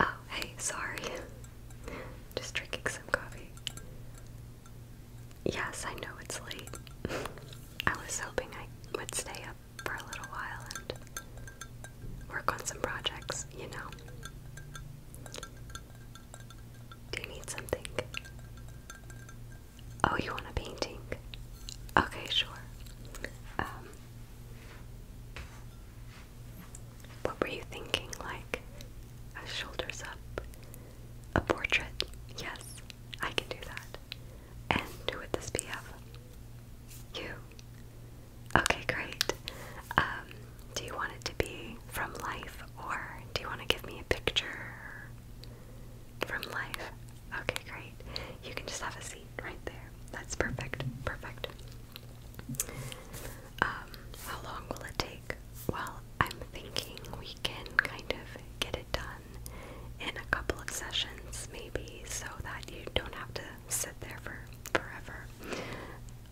Oh, hey, sorry. Just drinking some coffee. Yes, I know it's late. I was hoping I would stay up for a little while and work on some projects, you know. Do you need something? Oh, you want a painting? Okay, sure. Um, what were you thinking? Like a shoulders up, a portrait? Yes, I can do that. And who would this be of? You. Okay, great. Um, do you want it to be from life or do you want to give me a picture? From life. Okay, great. You can just have a seat right there. That's perfect. Perfect. Um, how long will it take? Well, I'm thinking we can kind of get it done in a couple of sessions, maybe, so that you don't have to sit there for forever.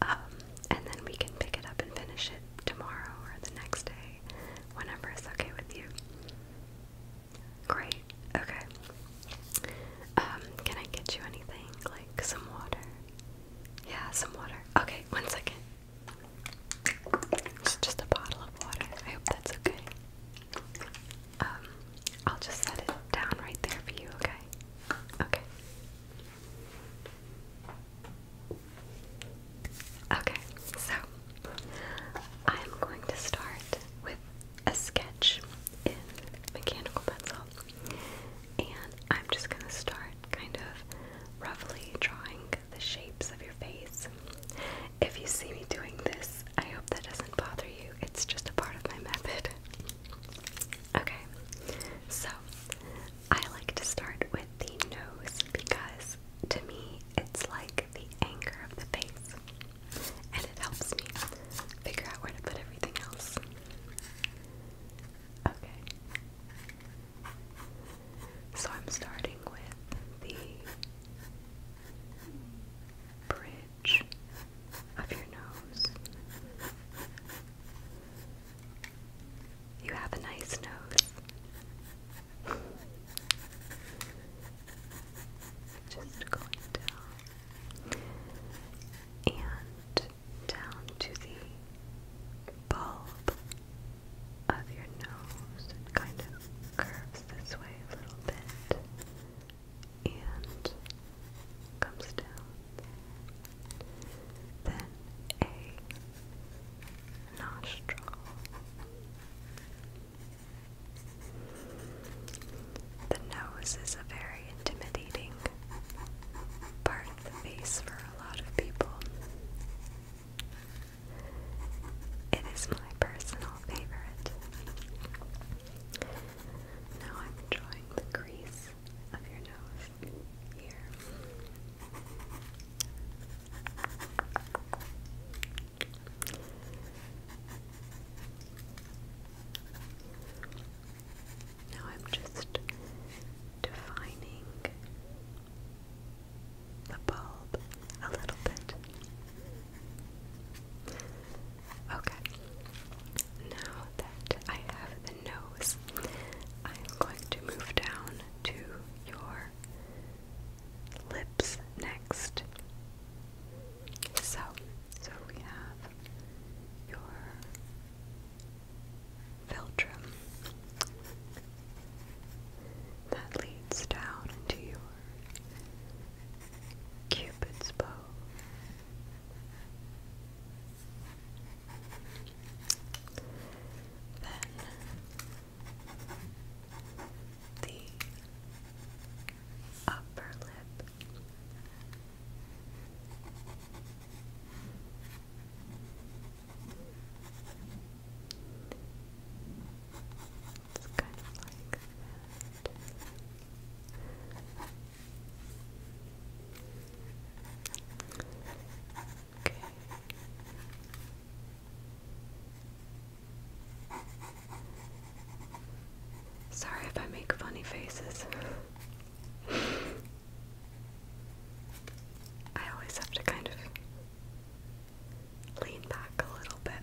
Um, and then we can pick it up and finish it tomorrow or the next day, whenever it's okay with you. Great. Okay. Um, can I get you anything? Like some water? Yeah, some water. Okay, one second. It's just a bottle of water. I hope that's okay. Um, I'll just set it down right there for you, okay? Okay. Okay, so I'm going to start with a sketch in mechanical pencil, and I'm just going to start kind of roughly drawing the shapes of your face. If you see me doing this, I hope that doesn't bother you, it's just a part of my method. Okay, so I like to start with the nose because to me it's like the anchor of the face and it helps me figure out where to put everything else. Okay. So I'm starting with the bridge of your nose. You have a nice nose. Just going down and down to the bulb of your nose. kind of curves this way a little bit and comes down. Then a nostril. The nose is a very intimidating part of the face for a lot of people. It is my personal favorite. Now I'm drawing the crease of your nose here. Now I'm just defining the bulb a little bit. Okay, now that I have the nose, I'm going to move down to your lips next. So, so we have your philtrum that leads down into your cupid's bow. Then the upper lip. It's kind of like Okay. Sorry if I make funny faces. I always have to kind of lean back a little bit.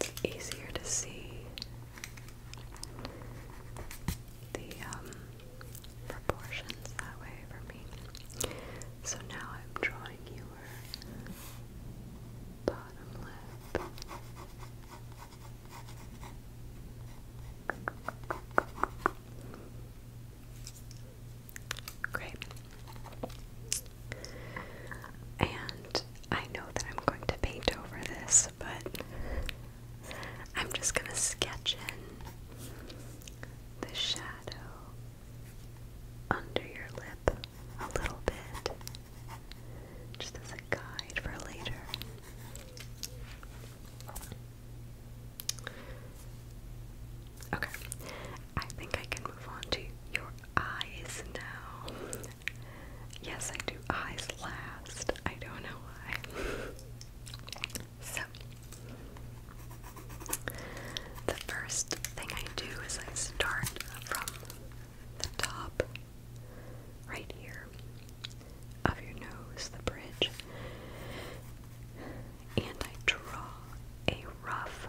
It's easier to see the um, proportions that way for me. So now I'm drawing you bottom lip. Great. And I know that I'm going to paint over this, but I'm just going to sketch in the shadow under your lip a little bit, just as a guide for later. Okay, I think I can move on to your eyes now. Yes, I do eyes last. I don't know why. so, the first thing I do is I start from the top, right here, of your nose, the bridge, and I draw a rough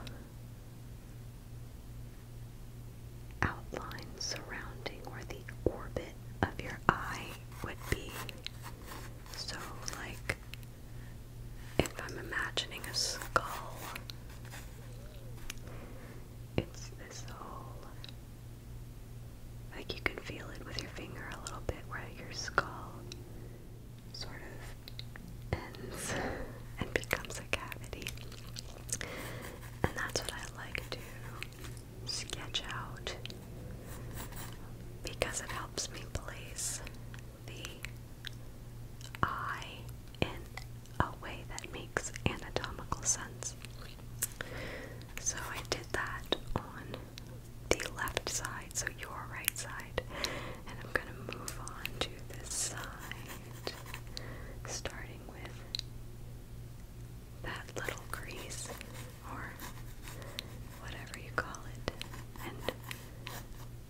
outline surrounding where the orbit of your eye would be. So, like if I'm imagining a skull, it's this whole like you can feel it with your finger a little bit where your skull sort of ends and becomes a cavity. And that's what I like to sketch out because it helps me place the eye in a way that makes anatomical sense. So I did that on the left side, so your right side, and I'm going to move on to this side, starting with that little crease or whatever you call it, and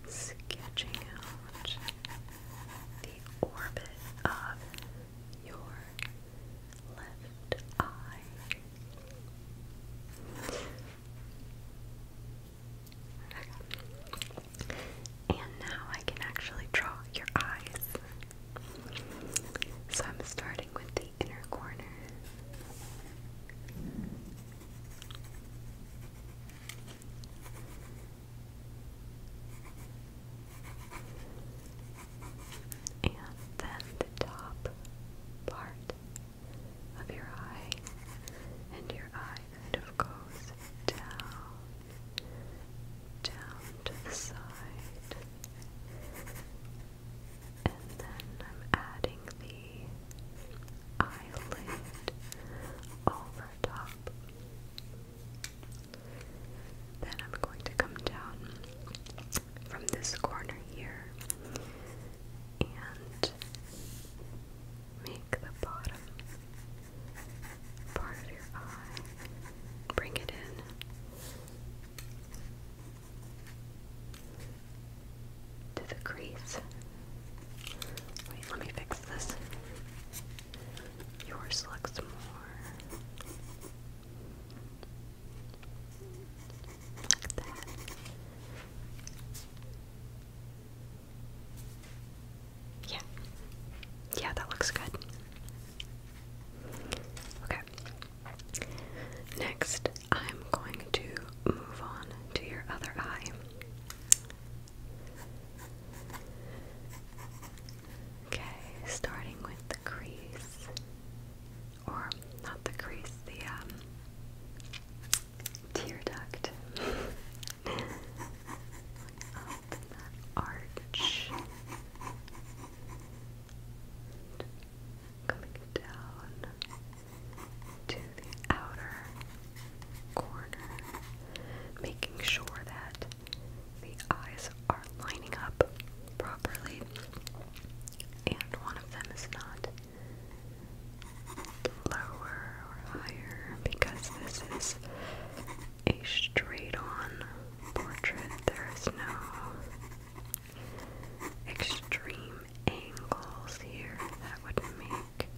sketching out the orbit of your left eye. And now I can actually draw your eyes. So I'm starting with the inner corner and then the top part of your eye, and your eye kind of goes down, down to the side, and then I'm adding the eyelid over then I'm going to come down from this corner here and make the bottom part of your eye. Bring it in. To the crease. Wait, let me fix this. Yours looks more. Like that. Yeah. Yeah, that looks good. Okay. Next, I'm going to move on to your other eye. Okay, starting with the crease, or not the crease, the um, tear duct. arch, coming down to the outer corner, making sure that the eyes are lining up properly and one of them is not lower or higher because this is a straight on portrait. There is no extreme angles here that would make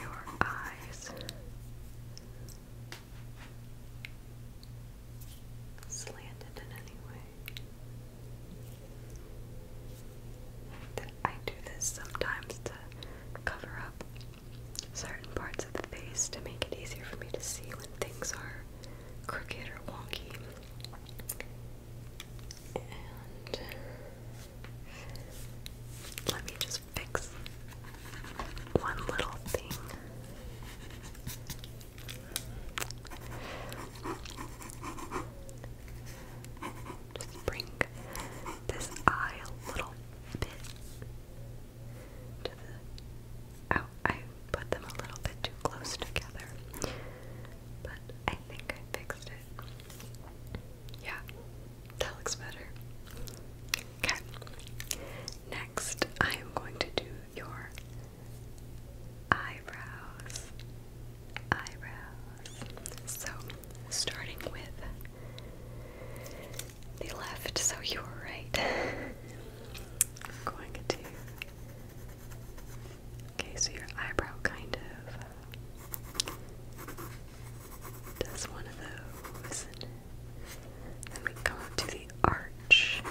your eyes. Slanted in any way. I do this sometimes to cover up certain parts of the face to make it easier for me to see when things are crooked or wonky. And let me just fix one little thing. Just bring this eye a little bit out. Oh, I put them a little bit too close together, but I think I fixed it. Yeah, that looks better. Okay. Next, I am going to do your eyebrows. Eyebrows. So, starting with the left, so your right. I'm going to. Okay, so your eyebrow kind of does one of those. then we come up to the arch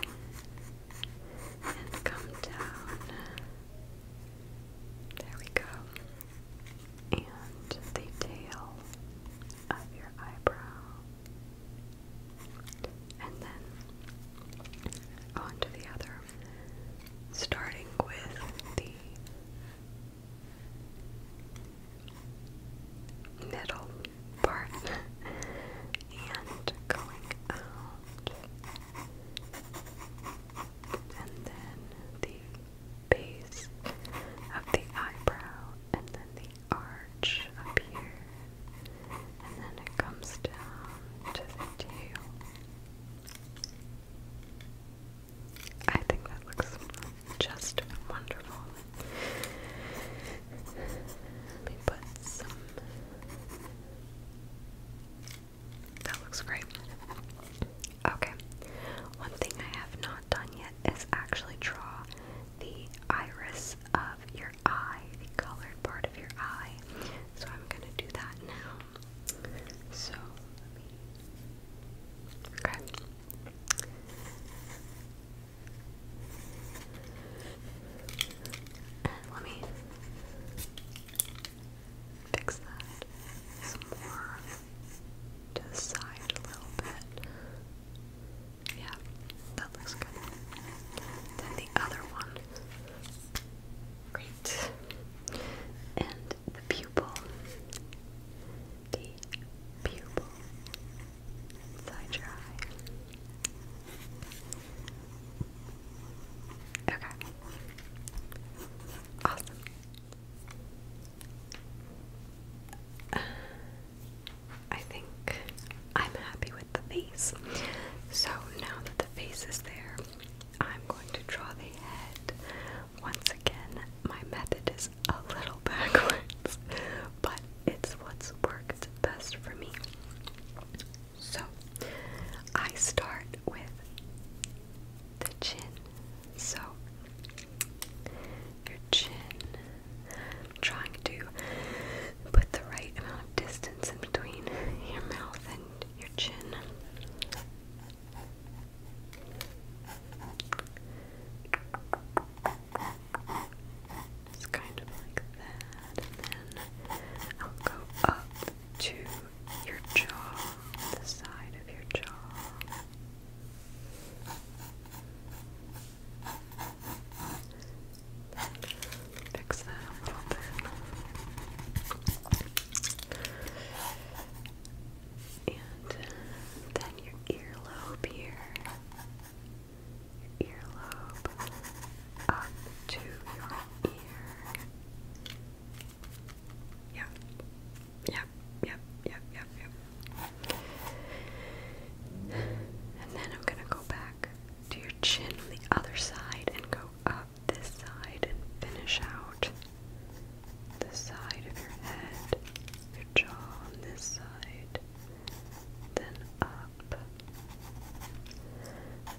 and come down. There we go. And the tail of your eyebrow. And then onto the other. Starting with the middle part and going out, and then the base of the eyebrow, and then the arch up here, and then it comes down to the tail. I think that looks just wonderful. Let me put some. That looks great. Okay, one thing I have not done yet is actually draw the iris of your eye, the colored part of your eye. So I'm gonna do that now. So Okay. And let me fix that some more to the side a little bit. Yeah, that looks good. Then the other one. Great. And the pupil, the pupil inside your eye. Okay. Awesome. I think I'm happy with the face. So now that the face is there, I'm going to draw the head. Once again, my method is a little backwards, but it's what's worked best for me. So I start with the chin. So your chin. trying to put the right amount of distance in between your mouth and your chin. Just kind of like that, and then I'll go up to your jaw, the side of your jaw. Fix that a little bit. And uh, then your earlobe here. Your earlobe up to your ear. Yep. Yep, yep, yep, yep, yep. And then I'm gonna go back to your chin on the other side and go up this side and finish out the side of your head, your jaw on this side, then up, up,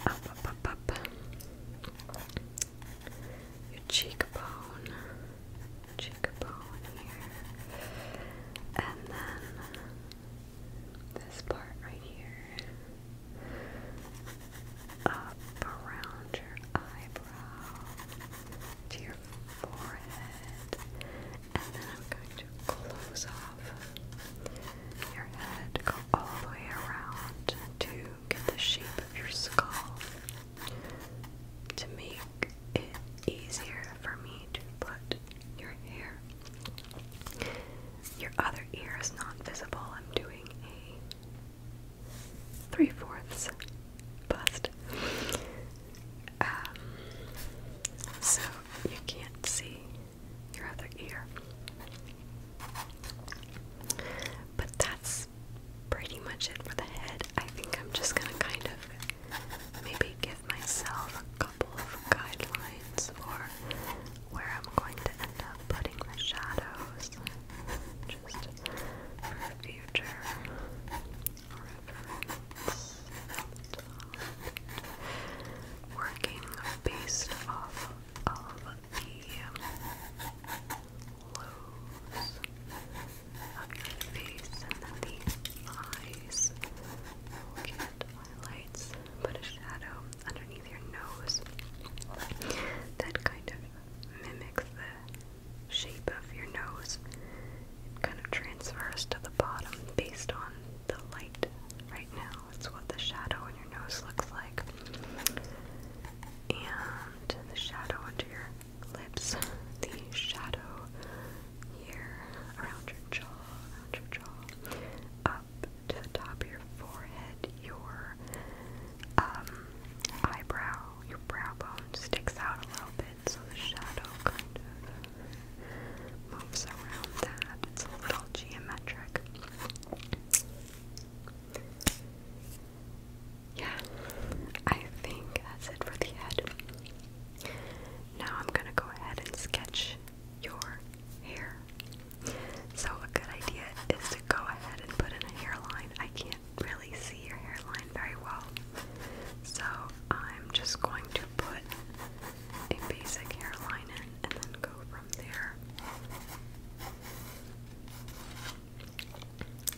up, up, up, your cheekbone, cheekbone here, and then this part right here. Up around your eyebrow, to your forehead, and then I'm going to close off your head, go all the way around to get the shape of your skull to make it easier for me to put your hair. Your other ear is not visible. I'm doing a three fourths bust. Um, so you can't see your other ear. But that's pretty much it for the head. I think I'm just gonna kind of maybe give myself a couple of guidelines for where I'm going to end up putting the shadows just for future reference working based off of the lows of your face the eyes will highlights, put a shadow underneath your nose that kind of mimics the shape of your nose. It kind of transfers to the bottom based on the light right now. It's what the shadow on your nose looks like. And the shadow under your lips, the shadow here around your jaw, around your jaw, up to the top of your forehead, your um, eyebrow, your brow bone sticks out a little bit so the shadow kind of moves around that. It's a little geometric. Yeah, I think that's it for the head. Now I'm gonna go ahead and sketch your hair. So, a good idea is to go ahead and put in a hairline. I can't really see your hairline very well. So, I'm just going to put a basic hairline in and then go from there.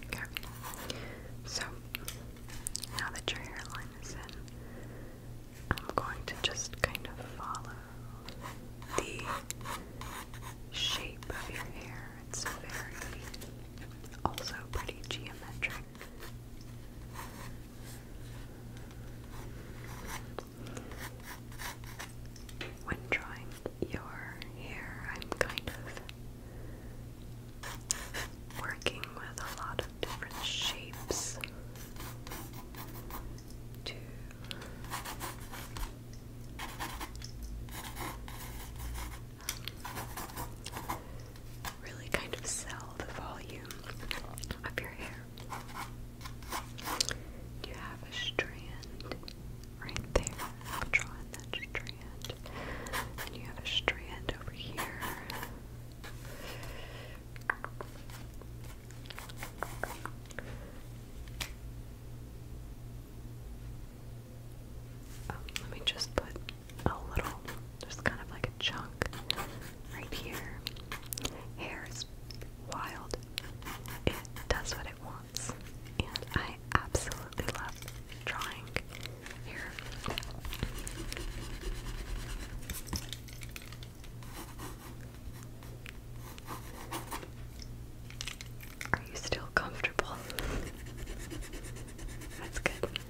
Okay, so now that your hairline is in, I'm going to just kind of follow the shape of your hair. It's very also pretty geometric. When drawing your hair, I'm kind of working with a lot of different shapes really kind of sell the volume of your hair. You have a strand right there. I'll draw in that strand. And you have a strand over here. Oh, let me just put a little, there's kind of like a chunk right here. Hair is wild. It does what it wants. And I absolutely love drawing hair. Are you still comfortable? That's good.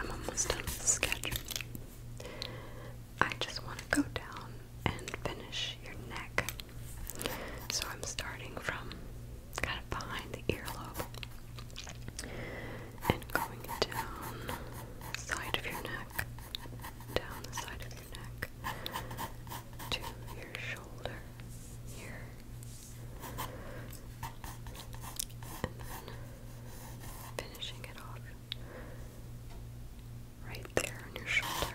I'm almost done with the sketch. I just want to go down and finish your neck. So I'm starting from kind of behind the earlobe and going down the side of your neck, down the side of your neck to your shoulder, here, finishing it off right there on your shoulder.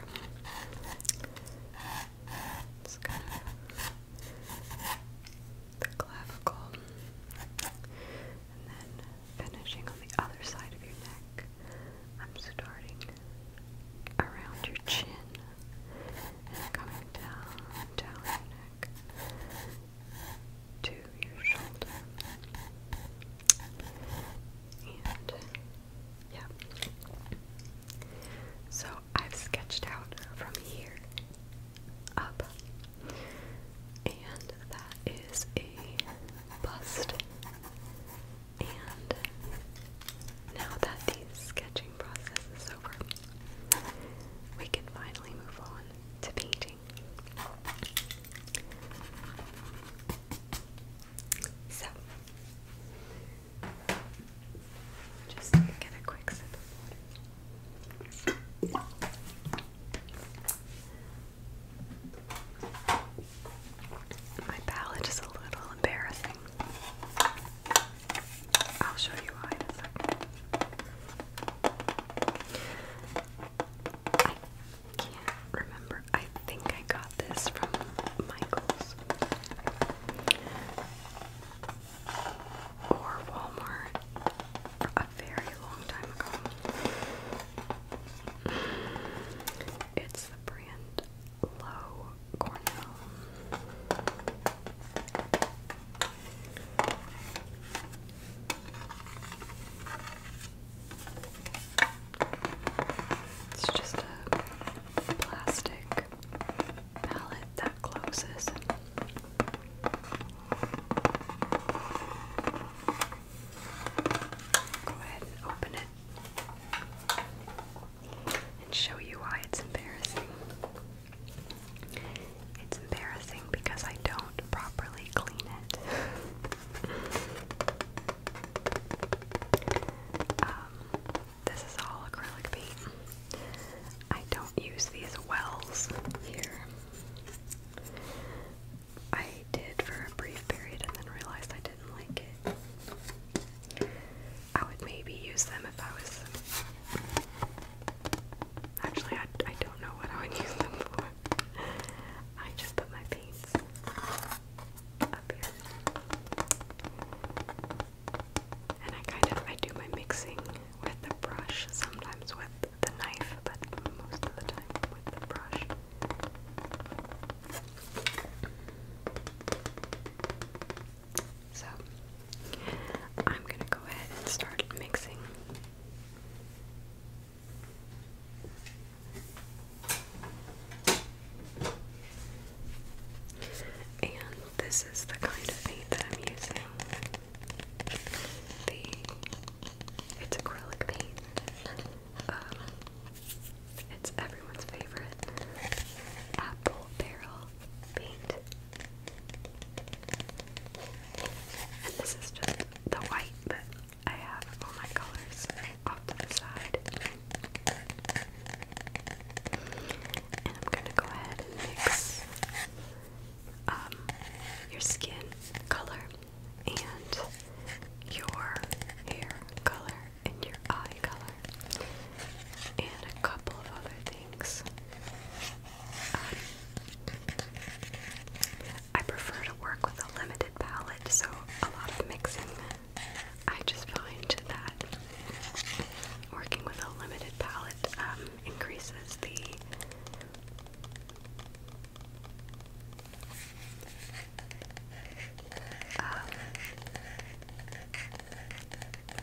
It's kind the clavicle. And then finishing on the other side of your neck, I'm starting around your chin and coming down, down your neck to your shoulder. And yeah. So I've sketched out from here up. And that is a bust. And now that the sketching process is over, we can finally move on to painting. So, just get a quick sip My palette is a little embarrassing. I'll show you why in a second. I can't remember. I think I got this from Michaels or Walmart a very long time ago. It's the brand Low Cornell. It's just a plastic palette that closes. Go ahead and open it and show you why it's embarrassing. It's embarrassing because I don't properly clean it. Um, this is all acrylic paint. I don't use these wells here. I did for a brief period and then realized I didn't like it. I would maybe use them if I was Actually, I, I don't know what I would use them for. I just put my paints up here. And I kind of, I do my mixing with the brush, sometimes with the knife, but most of the time with the brush. So, I'm gonna go ahead and start mixing and this is the kind of paint that I'm using. The it's acrylic paint. Um, it's everyone's favorite apple barrel paint. And this is just the white, but I have all my colors off to the side. And I'm gonna go ahead and mix um, your skin color and your hair color and your eye color and a couple of other things. Um, I prefer to work with a limited palette, so a lot of mixing. I just find that working with a limited palette um, increases the um,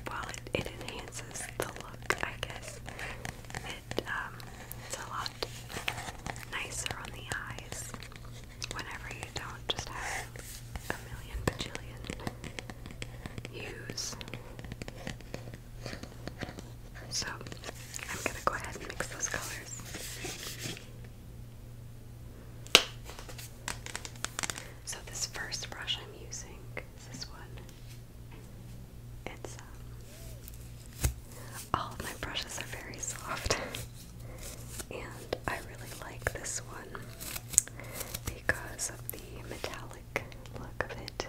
well, it enhances the look, I guess. Um, it's a lot nicer on the eyes whenever you don't just have a million bajillion hues. So, I'm gonna go ahead and mix those colors. So, this first brush I'm using is this one. It's all um, of oh, my brushes are very soft, and I really like this one because of the metallic look of it,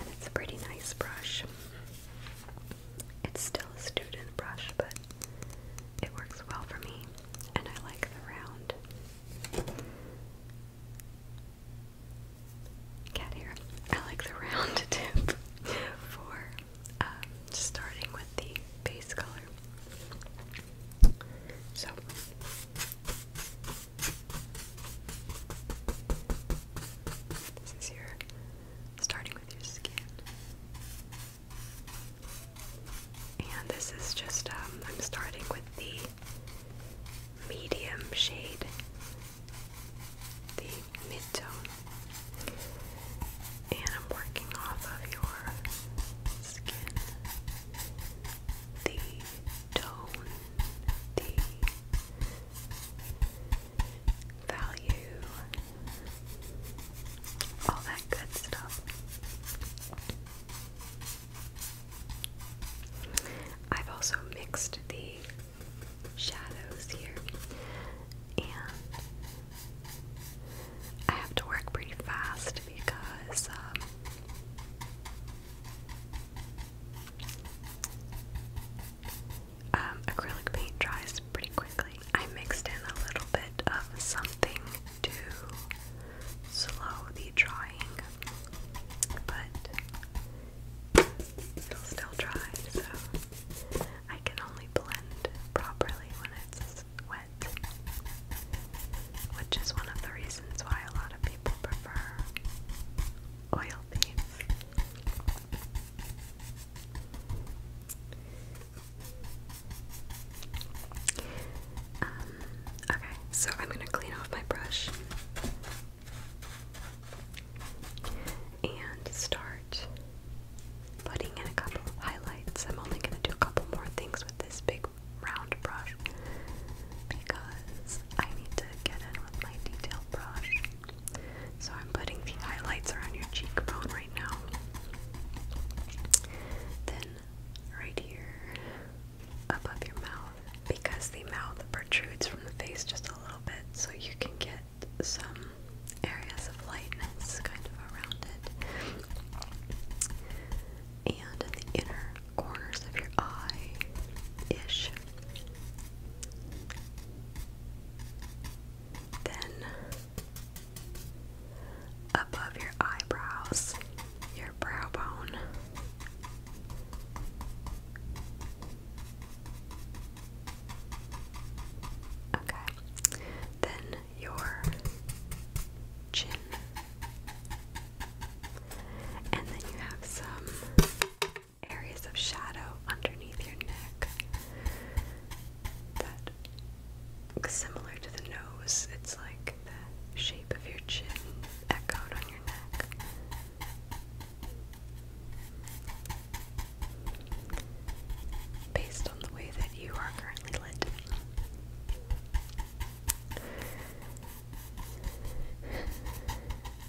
and it's a pretty nice brush. It's still a student brush, but it works well for me, and I like the round cat hair. I like the round tip for um, starting with the base color. So. This is your starting with your skin. And this is just, um, I'm starting with the medium shade the midtone, and I'm working off of your skin, the tone, the value, all that good stuff. I've also mixed the shadows here. And I have to work pretty fast because um, um, acrylic paint dries pretty quickly. I mixed in a little bit of something to slow the drying, but It'll still dry, so I can only blend properly when it's wet, which is one of the reasons why a lot of people prefer oil thieves. Um, okay, so I'm gonna clean off my brush and start putting in a couple highlights. I'm only going to do a couple more things with this big round brush because I need to get in with my detail brush. So I'm putting the highlights around your cheekbone right now. Then right here above your mouth because the mouth protrudes from the face just a a little bit so you can get some areas of lightness kind of around it. And in the inner corners of your eye ish. Then above your eyebrows, your brow bone. Okay. Then your chin. And then you have some areas of shadow underneath your neck that similar to the nose, it's like the shape of your chin echoed on your neck. Based on the way that you are currently lit.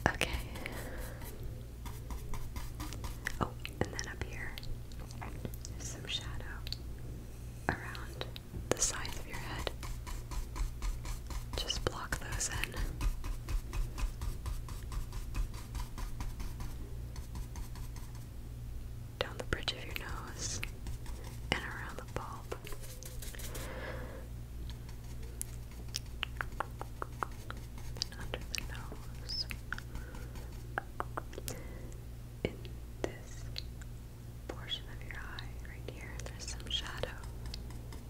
Okay. Oh, and then up here, some shadow around the sides of your head. Just block those in down the bridge of your nose and around the bulb. And under the nose. In this portion of your eye, right here, there's some shadow. Okay.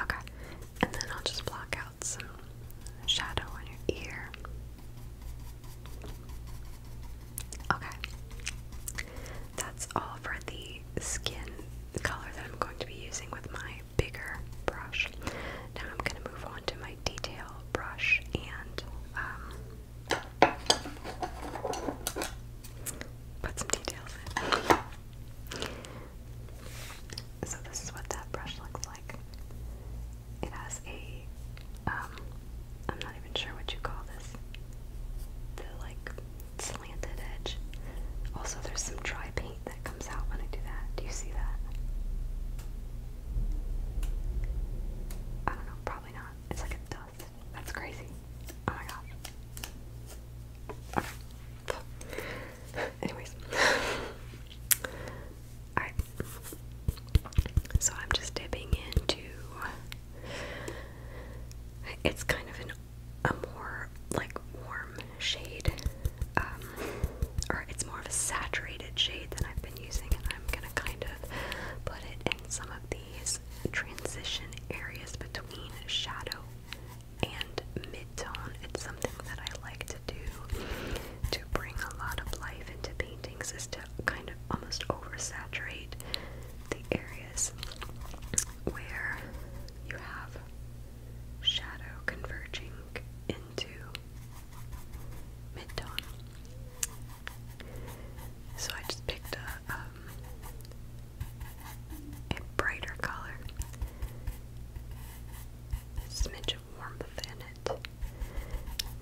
Okay, and then I'll just block out some shadow on your Okay, that's all for the skin color that I'm going to be using with my bigger brush. Now I'm going to move on to my detail brush and um, put some details in. So this is what that brush looks like. It has a, am um, not even sure what you call this, the like slanted edge. Also, there's some dry paint that comes out when I do that. Do you see that? I don't know, probably not. It's like a dust. That's crazy. Oh my gosh. Anyways. Alright. So I'm just dipping into it's kind of an a more like warm shade um, or it's more of a saturated shade than I've been using, and I'm gonna kind of put it in some of these transition areas between shadow and mid-tone. It's something that I like to do to bring a lot of life into paintings is to kind of almost oversaturate the areas where you have shadow converging into mid-tone. So I just picked a, um, a brighter color, a smidge of warmth in it.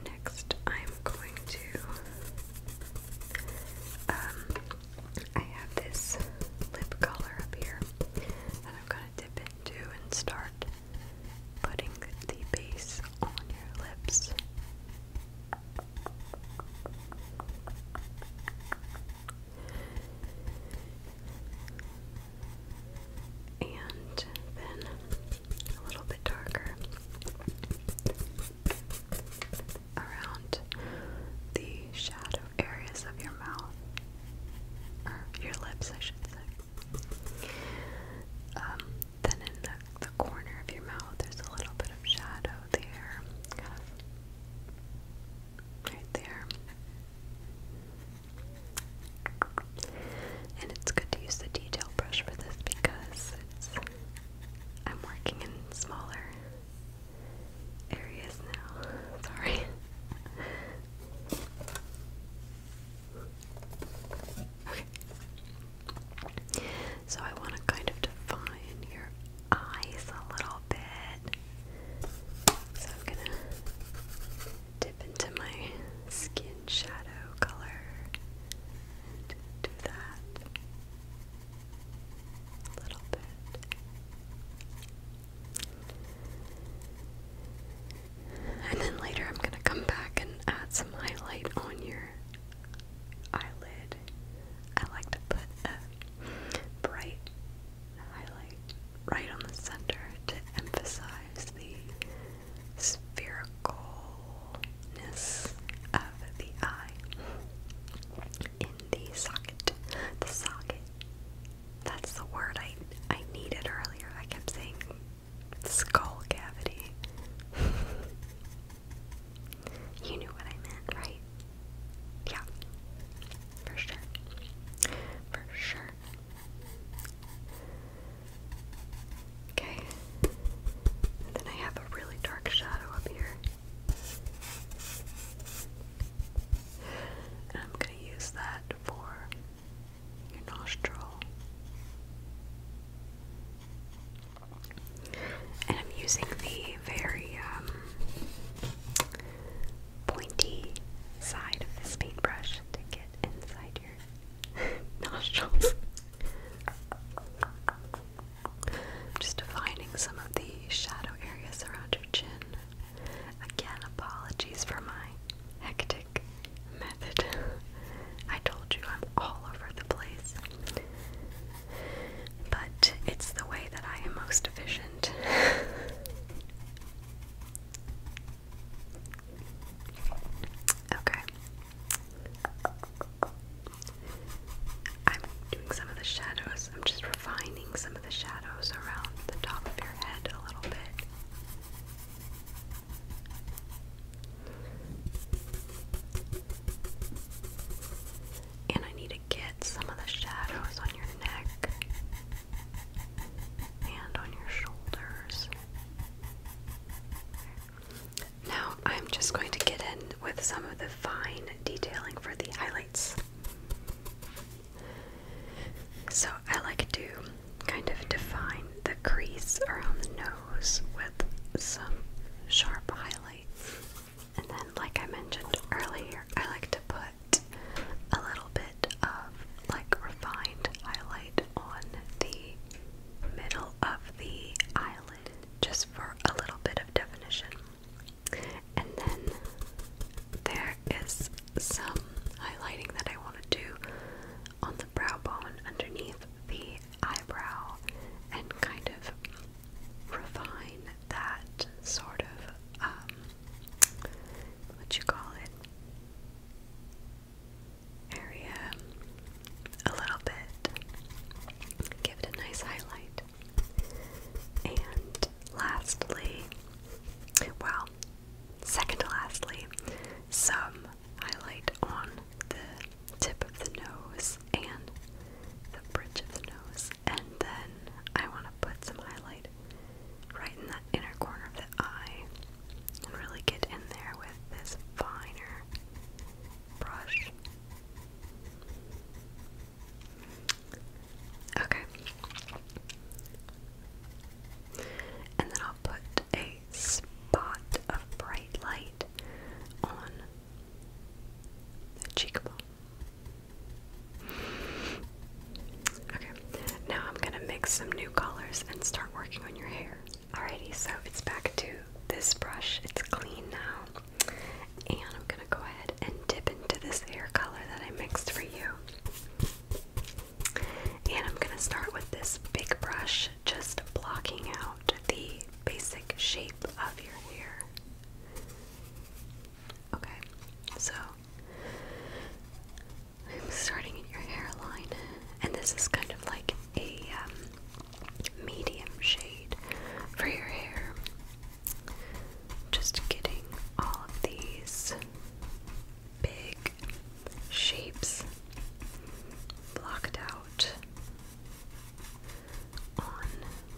Next, I'm going to, um, I have this lip color up here that I'm going to dip into and start putting the base on your lips. And then a little bit darker around the shadow areas of your mouth, or your lips, I should say. Um, then in the, corner of your mouth, there's a little bit of shadow there, right there. And it's good to use the detail brush for this because I'm working in smaller areas now. Sorry. So I want to kind of define your eyes a little bit. So I'm going to dip into my skin shadow color and do that a little bit. And then later I'm gonna come back and add some highlight on your eyelid. I like to put a bright highlight right on the center to emphasize the sphericalness of the eye in the socket. The socket. That's the word I I needed earlier. I kept saying skull cavity. you knew what I meant, right? Yeah. For sure. For sure. Okay. then I have a really dark shadow up here. And I'm going to use that for your nostril. And I'm using the very um, pointy side of this paintbrush to get inside your nostrils. Just defining some of the shadow areas around your chin. Again, apologies for my hectic method. I told you I'm all over the place. But it's the way that I am most efficient. okay. I'm doing some of the shadows. I'm just refining some of the shadows around the top of your head a little bit. And I need to get some of the shadows on your neck and on your shoulders. Now I'm just going to get in with some of the fine detailing for the highlights. So I like to kind of define the crease around the nose with some sharp highlights. And then, like I mentioned earlier, I like to put a little bit of like refined highlight on the middle of the eyelid just for a little bit of definition. And then there is some highlighting that I want to do on the brow bone underneath the eyebrow and kind of refine that sort of, um, what you call it, area a little bit. Give it a nice highlight. And lastly, well, second to lastly, some highlight on the tip of the nose and the bridge of the nose, and then I want to put some highlight right in that inner corner of the eye and really get in there with this finer brush. Okay. And then I'll put a spot of bright light on the cheekbone. Okay, now I'm gonna mix some new colors and start working on your hair. Alrighty, so it's back to this brush. It's clean now. And I'm gonna go ahead and dip into this hair color that I mixed for you. And I'm going to start with this big brush, just blocking out the basic shape of your hair. Okay, so I'm starting at your hairline, and this is kind of like a um, medium shade for your hair. Just getting all of these big shapes blocked out on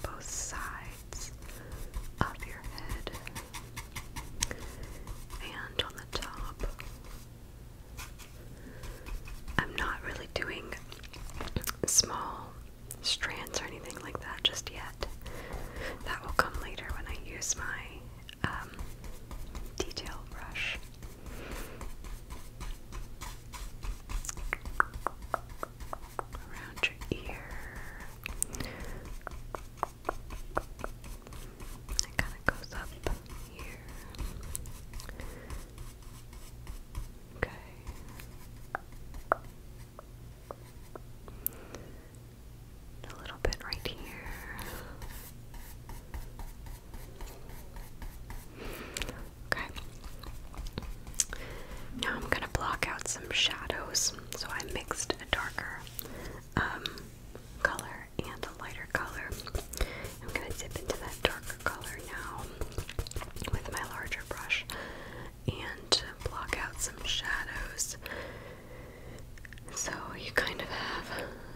both sides of your head and on the top. I'm not really doing small strands or anything like that just yet. That will come later when I use my um, detail brush. Around your ear. It kind of goes up here. Okay. A little bit right here. Okay. Now I'm gonna block out some shadows. So I mixed a darker um, color and a lighter color. I'm gonna dip into that darker color now with my larger brush and block out some shadows. So you kind of have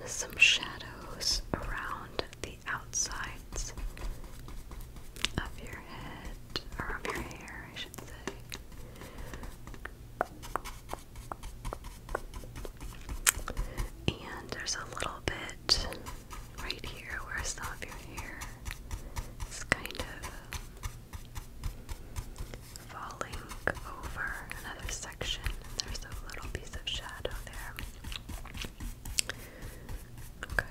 some shadows around the outsides of your head, or of your hair, I should say. And there's a little bit right here where some of your hair is kind of falling over another section. There's a little piece of shadow there. Okay.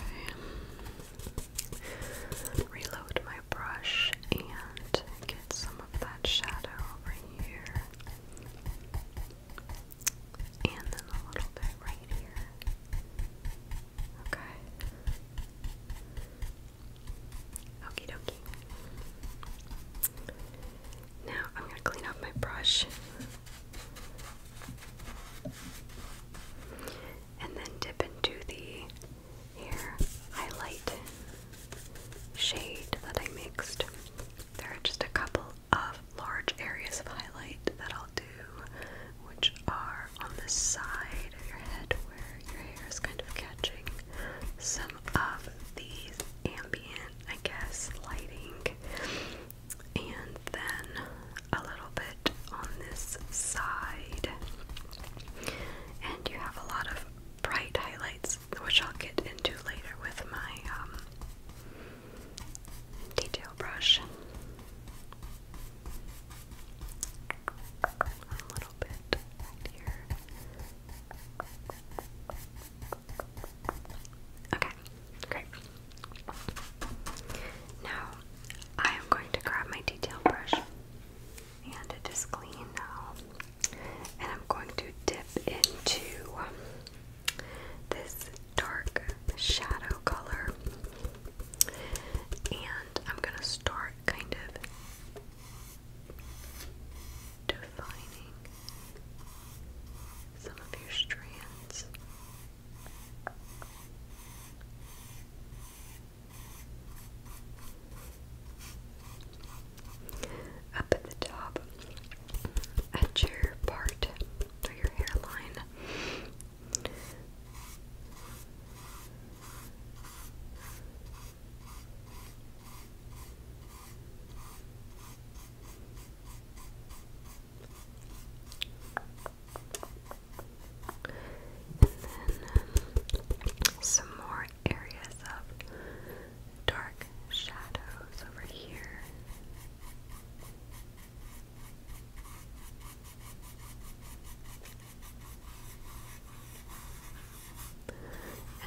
Reload my brush and get some of that shadow over here. And then a little bit right here. Okay. Okie dokie. Now I'm going to clean up my brush and then dip into the here highlight shade that I mixed. There are just a couple of large areas of highlight that I'll do, which are on the side of your head where your hair is kind of catching some of these ambient, I guess, lighting and then a little bit on this side. And you have a lot of bright highlights, which I'll get into later with my um, detail brush. A little bit right here. Okay, great. Now I am going to grab my detail brush and it is clean now. And I'm going to dip into this dark shadow color. And I'm going to start kind of defining some of your strands. Up at the top, at your part or your hairline, and then um, some more areas of dark shadows over here.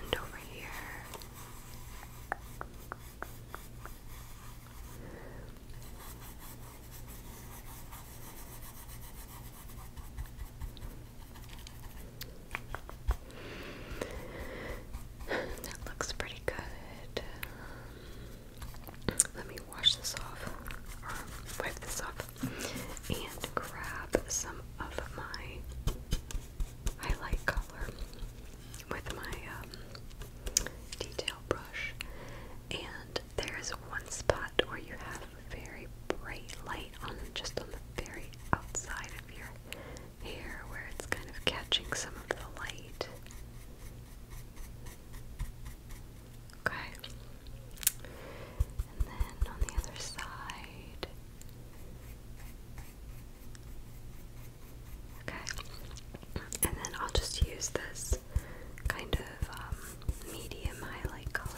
And over here, that looks pretty good. let me wash this off or wipe this off and grab some of my highlight color with my um, detail brush, and there is one spot where you have very bright light on just on the very outside of your hair where it's kind of catching some of the light. Okay. And then on the other side, Okay. And then I'll just use this kind of um, medium highlight color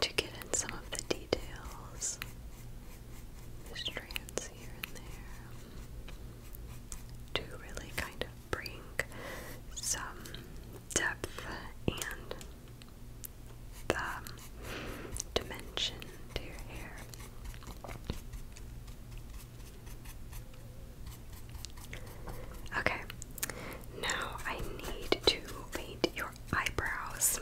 to get in some of the details. The strands here and there to really kind of bring some depth and the dimension to your hair. Okay, now I need to paint your eyebrows.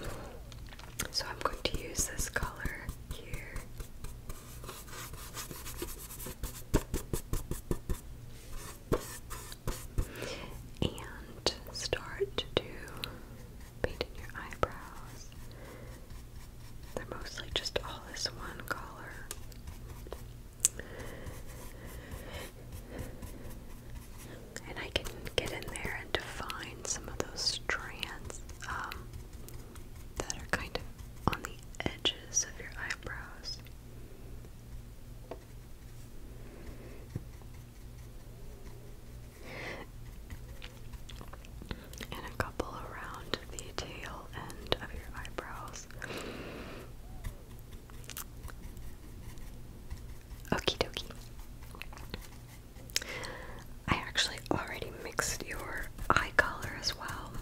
So I'm going to use this color here. And start to paint your eyebrows. They're mostly just all this one color. And I can get in there and define some of those strands um, that are kind of on the edges of your eyebrows and a couple around the tail end of your eyebrows. Okie dokie. I actually already mixed your eye color as well.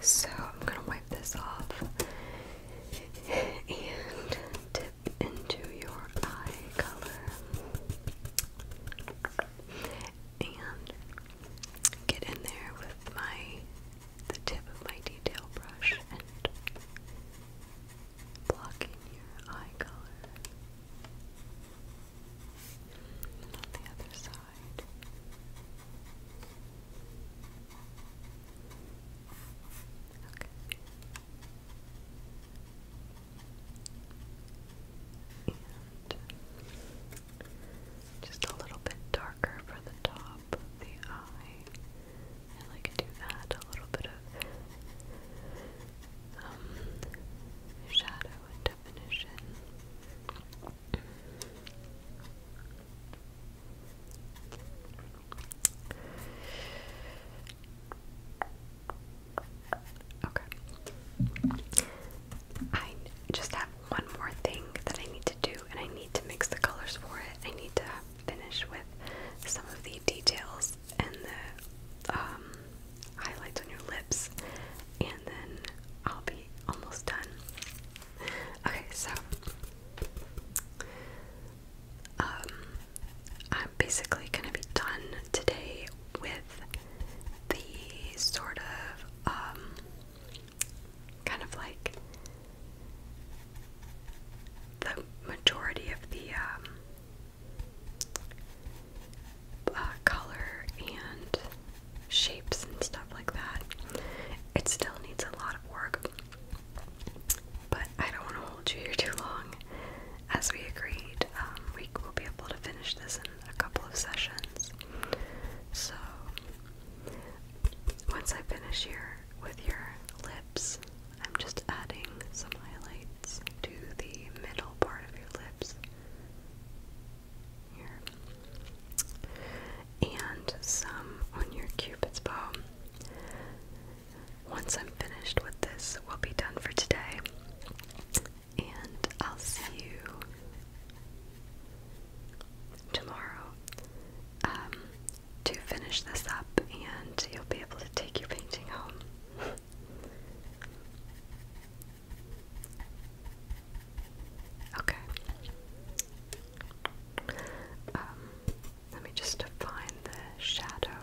So I'm going to wipe this off and dip into your eye color and get in there with my the tip of my detail brush and block in your eye color. And on the other side. Okay. And just a little bit darker for the top of the eye. I like to add a little bit of um, shadow and definition. Okay. I just have one more thing that I need to do, and I need to mix the colors for it. I need to finish with some of the details and the um, highlights on your lips, and then I'll be almost done. Okay, so. Um, I'm basically gonna be done today with the sort of um, kind of like the majority of the um, uh, color and shapes and stuff like that. It still needs a lot of work, but I don't want to hold you here too long. As we agreed, um, we will be able to finish this in a couple of sessions. So once I finish here with your lips, I'm just adding some highlights to the middle part of your lips. Here. And some on your cupid's bow. Once I'm finished with this, we'll be done for today and I'll see you tomorrow um, to finish this up, and you'll be able to take your painting home. okay. Um, let me just define the shadow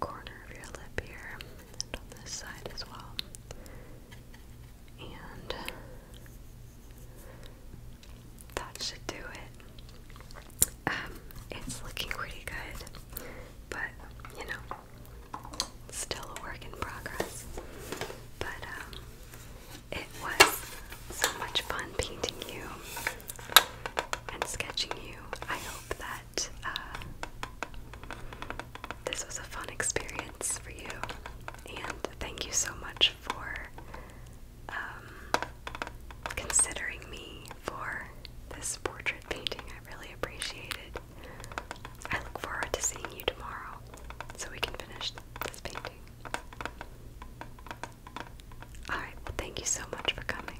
corner of your lip here and on this side as well. And that should do it. Um, it's looking pretty good, but you know, still a work in progress. But um, it was so much fun painting you and sketching you. I hope that uh, this was a fun experience for you. And thank you so much for um, considering me for this portrait painting. I really appreciate it. I look forward to seeing you tomorrow so we can finish this painting. Alright, well, thank you so much for coming.